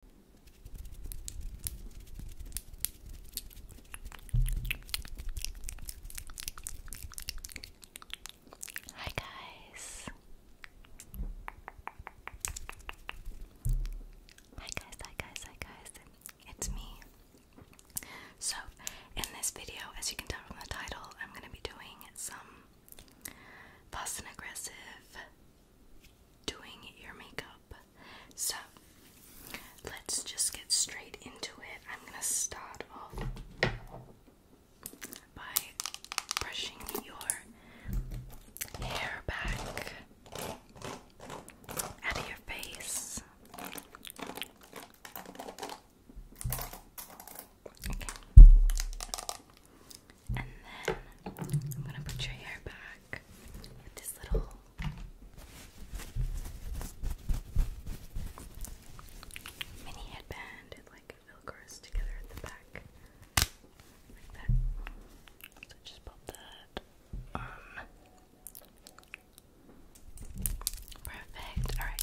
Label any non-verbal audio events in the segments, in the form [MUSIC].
Hi guys. Hi guys, hi guys, hi guys. It's me. So, in this video, as you can tell from the title, I'm going to be doing some fast and aggressive doing your makeup. So let's just get straight into it. I'm gonna start off by brushing your hair back out of your face. Okay. And then I'm gonna put your hair back with this little mini headband. It like velcros together at the back. Like that. So just pop that Perfect. Alright.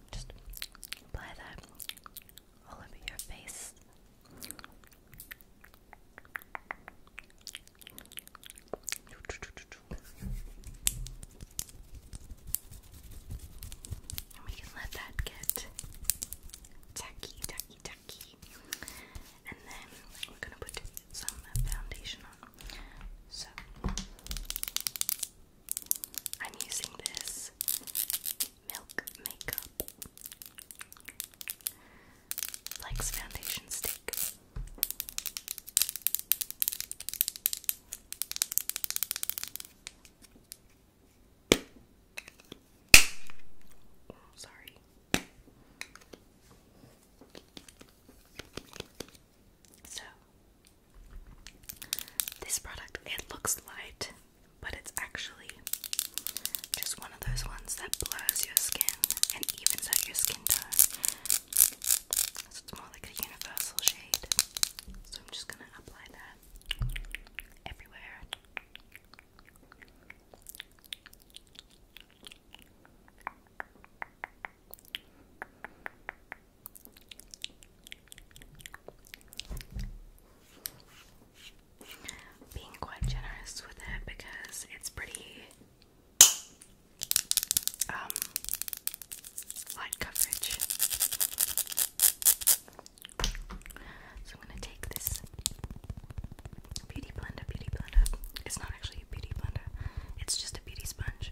Just apply that all over your face. And we can let that get tacky, tacky, tacky. And then we're gonna put some foundation on. So, I'm using this milk makeup Flex foundation stick. sorry. So, this product, it looks light, but it's actually just one of those ones that blurs your skin and evens out your skin tone. So it's more like a universal shade. So I'm just gonna apply that everywhere. Being quite generous with it because it's pretty um, light coverage. So I'm gonna take this beauty blender, beauty blender. It's not actually a beauty blender, it's just a beauty sponge.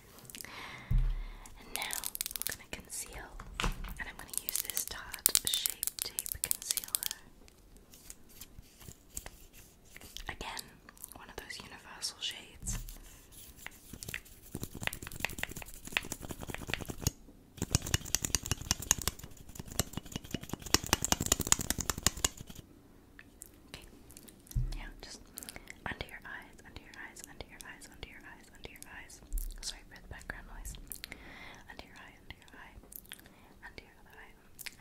And now I'm gonna conceal, and I'm gonna use this Tarte Shape Tape Concealer. Again, one of those universal shades. Okay. just under your eyes, under your eyes, under your eyes, under your eyes, under your eyes. Sorry for the background noise. Under your eye, under your eye, under your other eye,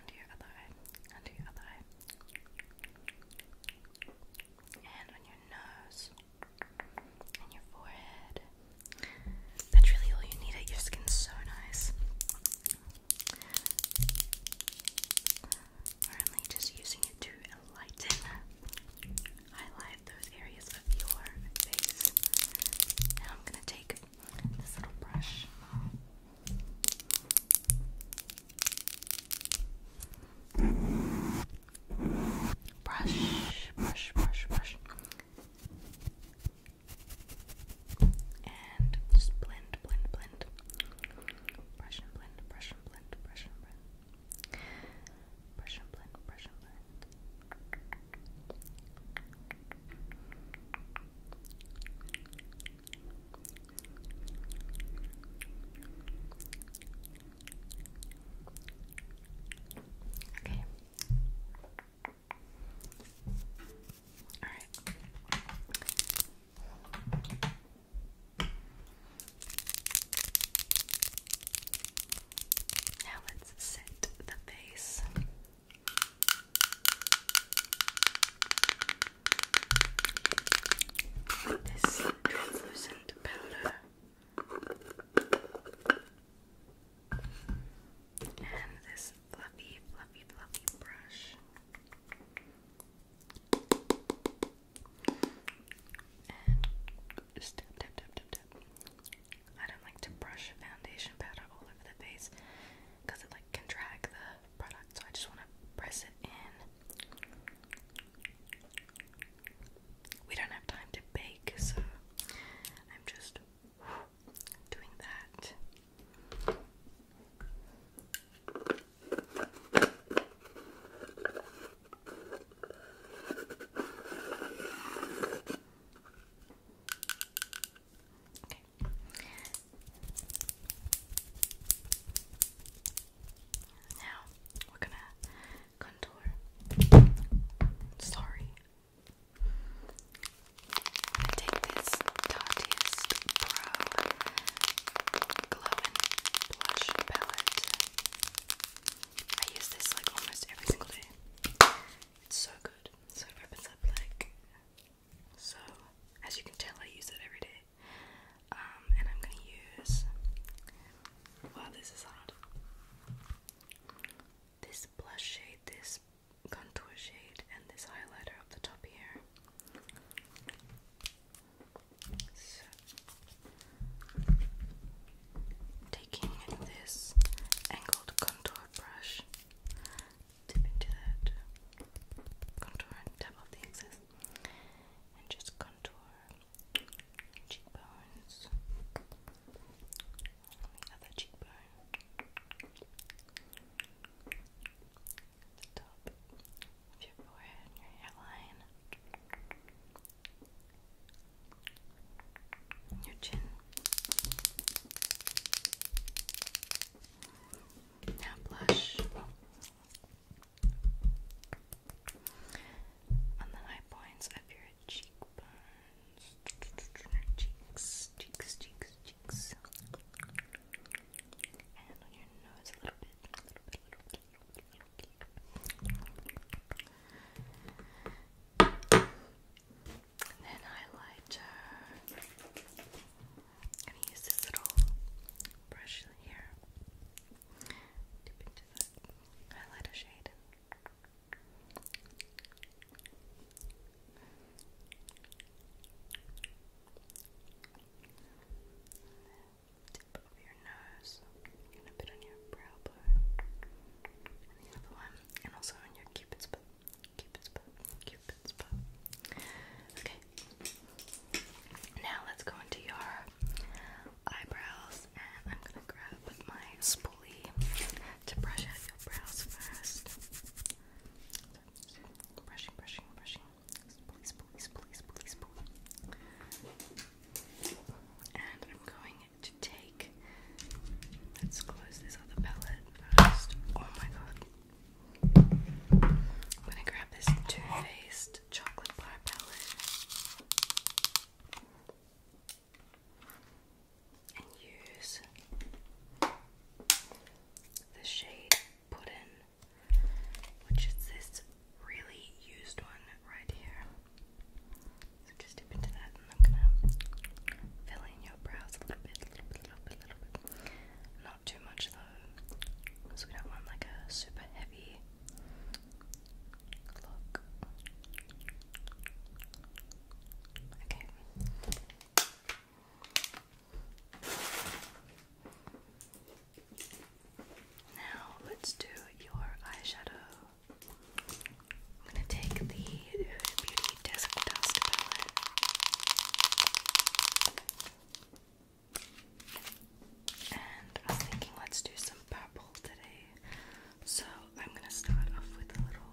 under your other eye, under your other eye. And on your nose, and your forehead. That's really all you need. Your skin's so nice. We're only just using it to enlighten, highlight those areas of your face. Now I'm gonna take this little brush. Brush, brush, brush, brush. And just blend, blend, blend. Brush and blend, brush and blend, brush and blend. Brush blend, brush blend. Okay. All right. Now let's set the base. This translucent powder and this fluffy, fluffy, fluffy brush. And just tap, tap, tap, tap, tap. I don't like to brush foundation powder all over the face because it like can drag the product, so I just want to press it in. We don't have time to bake, so I'm just doing that. Now we're gonna contour. Sorry. i take this Tatiest Pro Glow and Blush Palette I use this like almost every single day. It's so good. So it opens up like so. As you can tell, I use it every day. Um, and I'm gonna use. Wow, this is hard. This blush shade, this contour shade, and this highlighter up the top here taking this angled contour brush, dip into that contour and tap off the excess, and just contour cheekbones, other cheekbone, the top, of your forehead your hairline, your chin. Now blush on the high points of your cheekbones, cheeks, cheeks, cheeks, cheeks, and on your nose a little bit. And then highlighter. I'm gonna use this little brush here. Dip into the highlighter shade tip of your nose and a bit on your brow bone and one and also on your cupid's bow cupid's bow cupid's bow okay now let's go into your eyebrows and I'm gonna grab my spoolie to brush out your brows first brushing brushing brushing and I'm going to take. Let's close this other palette first. Oh my god. I'm gonna grab this Too Faced Chocolate Pie palette and use the shade Puddin' which is this really used one right here. So just dip into that, and I'm gonna fill in your brows a little bit, little bit, little bit, little bit. Not too much though, because we don't want like a super heavy look. Okay. Now let's do your eyeshadow. I'm gonna take the Beauty Disc Dust palette. And I was thinking let's do some purple today. So I'm gonna start off with a little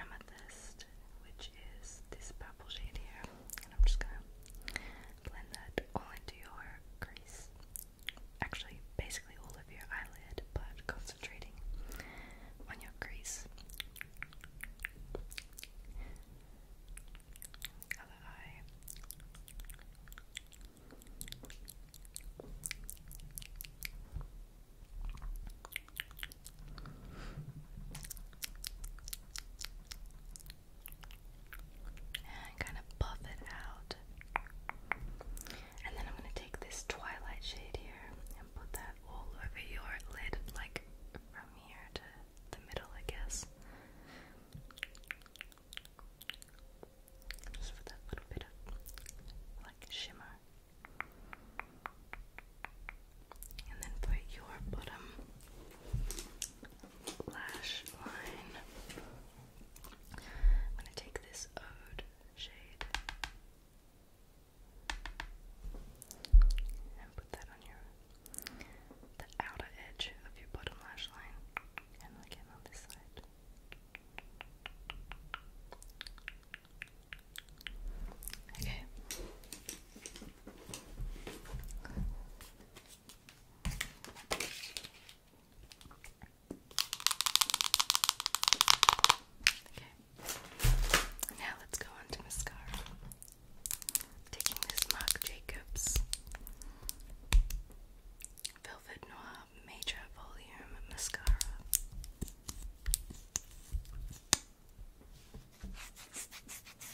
amethyst, which is this purple shade here. And I'm just gonna blend that all into your crease. Actually, basically all of your eyelid, but concentrating on your crease. Other eye and kind of buff it out. And then I'm gonna take this twilight shade here and put that all over your lid, like from here to the middle, I guess. Just for that little bit of like shimmer. And then for your bottom, lash line. I'm going to take this Ode shade and put that on your the outer edge of your bottom lash line and again on this side. Okay. Now let's go on to mascara. taking this Marc Jacobs Velvet Noir Major Volume Mascara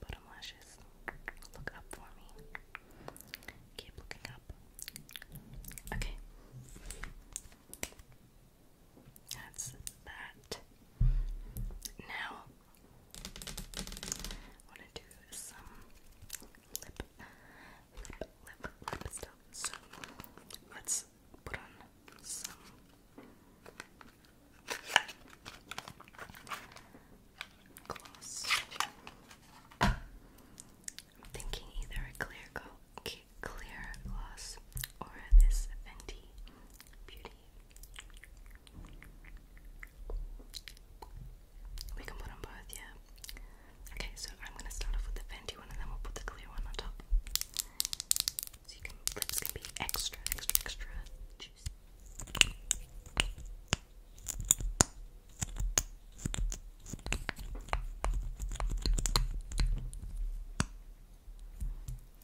bottom lashes. Look up for me. Keep looking up. Okay. That's that. Now, I want to do some lip, lip, lip, lip stuff. So, let's put on some I'm thinking either a clear go clear gloss or this Fenty Beauty. We can put on both, yeah. Okay, so I'm gonna start off with the Fenty one and then we'll put the clear one on top. So you can lips can be extra, extra, extra issues.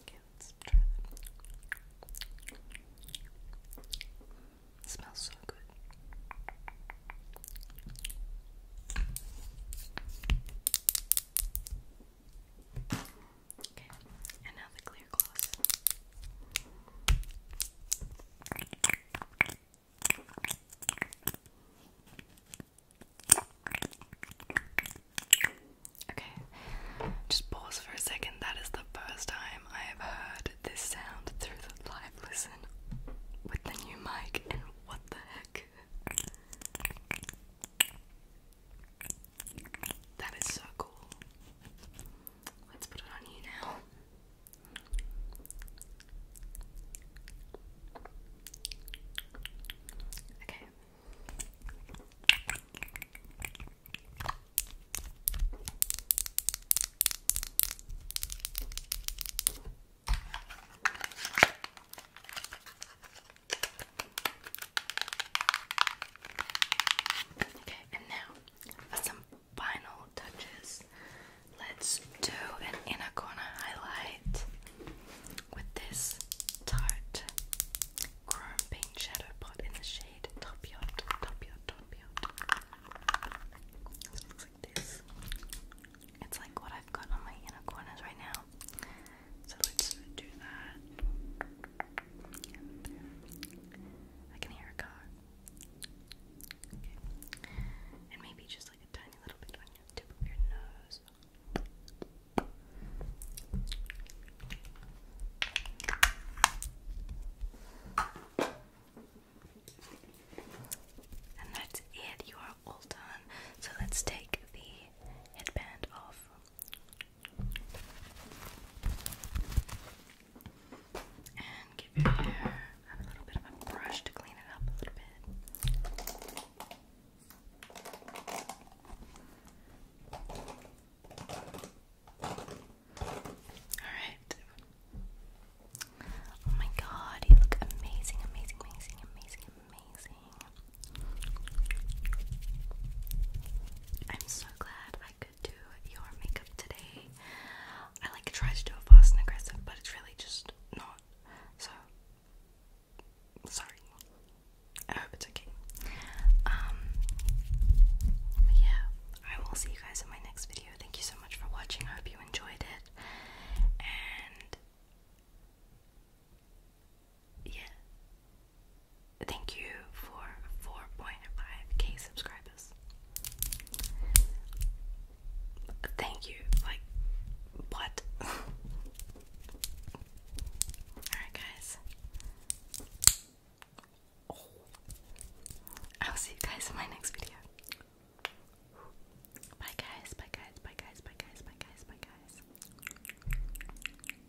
Okay, let's try them. It smells so good. Okay, and now the clear gloss. Okay, just pause for a second. That is the first time I have heard this sound through the live listen with the new mic, and what the heck? That is so cool. Let's put it on you now. Okay. Okay, and now for some final touches, let's do an inner corner highlight with this Tarte Chrome Paint Shadow Pot in the shade Top Yacht, Top Yacht, Top Yacht. It looks like this. It's like what I've got on my inner corners right now. So let's do that. And maybe just like a tiny little bit on your nose. And that's it. You are all done. So let's take the headband off. And give your hair a little bit of a brush to clean it up a little bit. Alright. Oh my god, you look amazing, amazing, amazing, amazing, amazing. I'm so glad I do your makeup today. I like try to do it fast and aggressive, but it's really just not. So sorry. I hope it's okay. Um yeah, I will see you guys in my next video. Thank you so much for watching. I hope you enjoyed it. And yeah. Thank you for 4.5k subscribers. Thank you. Like, what? [LAUGHS] Alright, guys. I'll see you guys in my next video. Bye, guys. Bye, guys. Bye, guys. Bye, guys. Bye, guys. Bye, guys.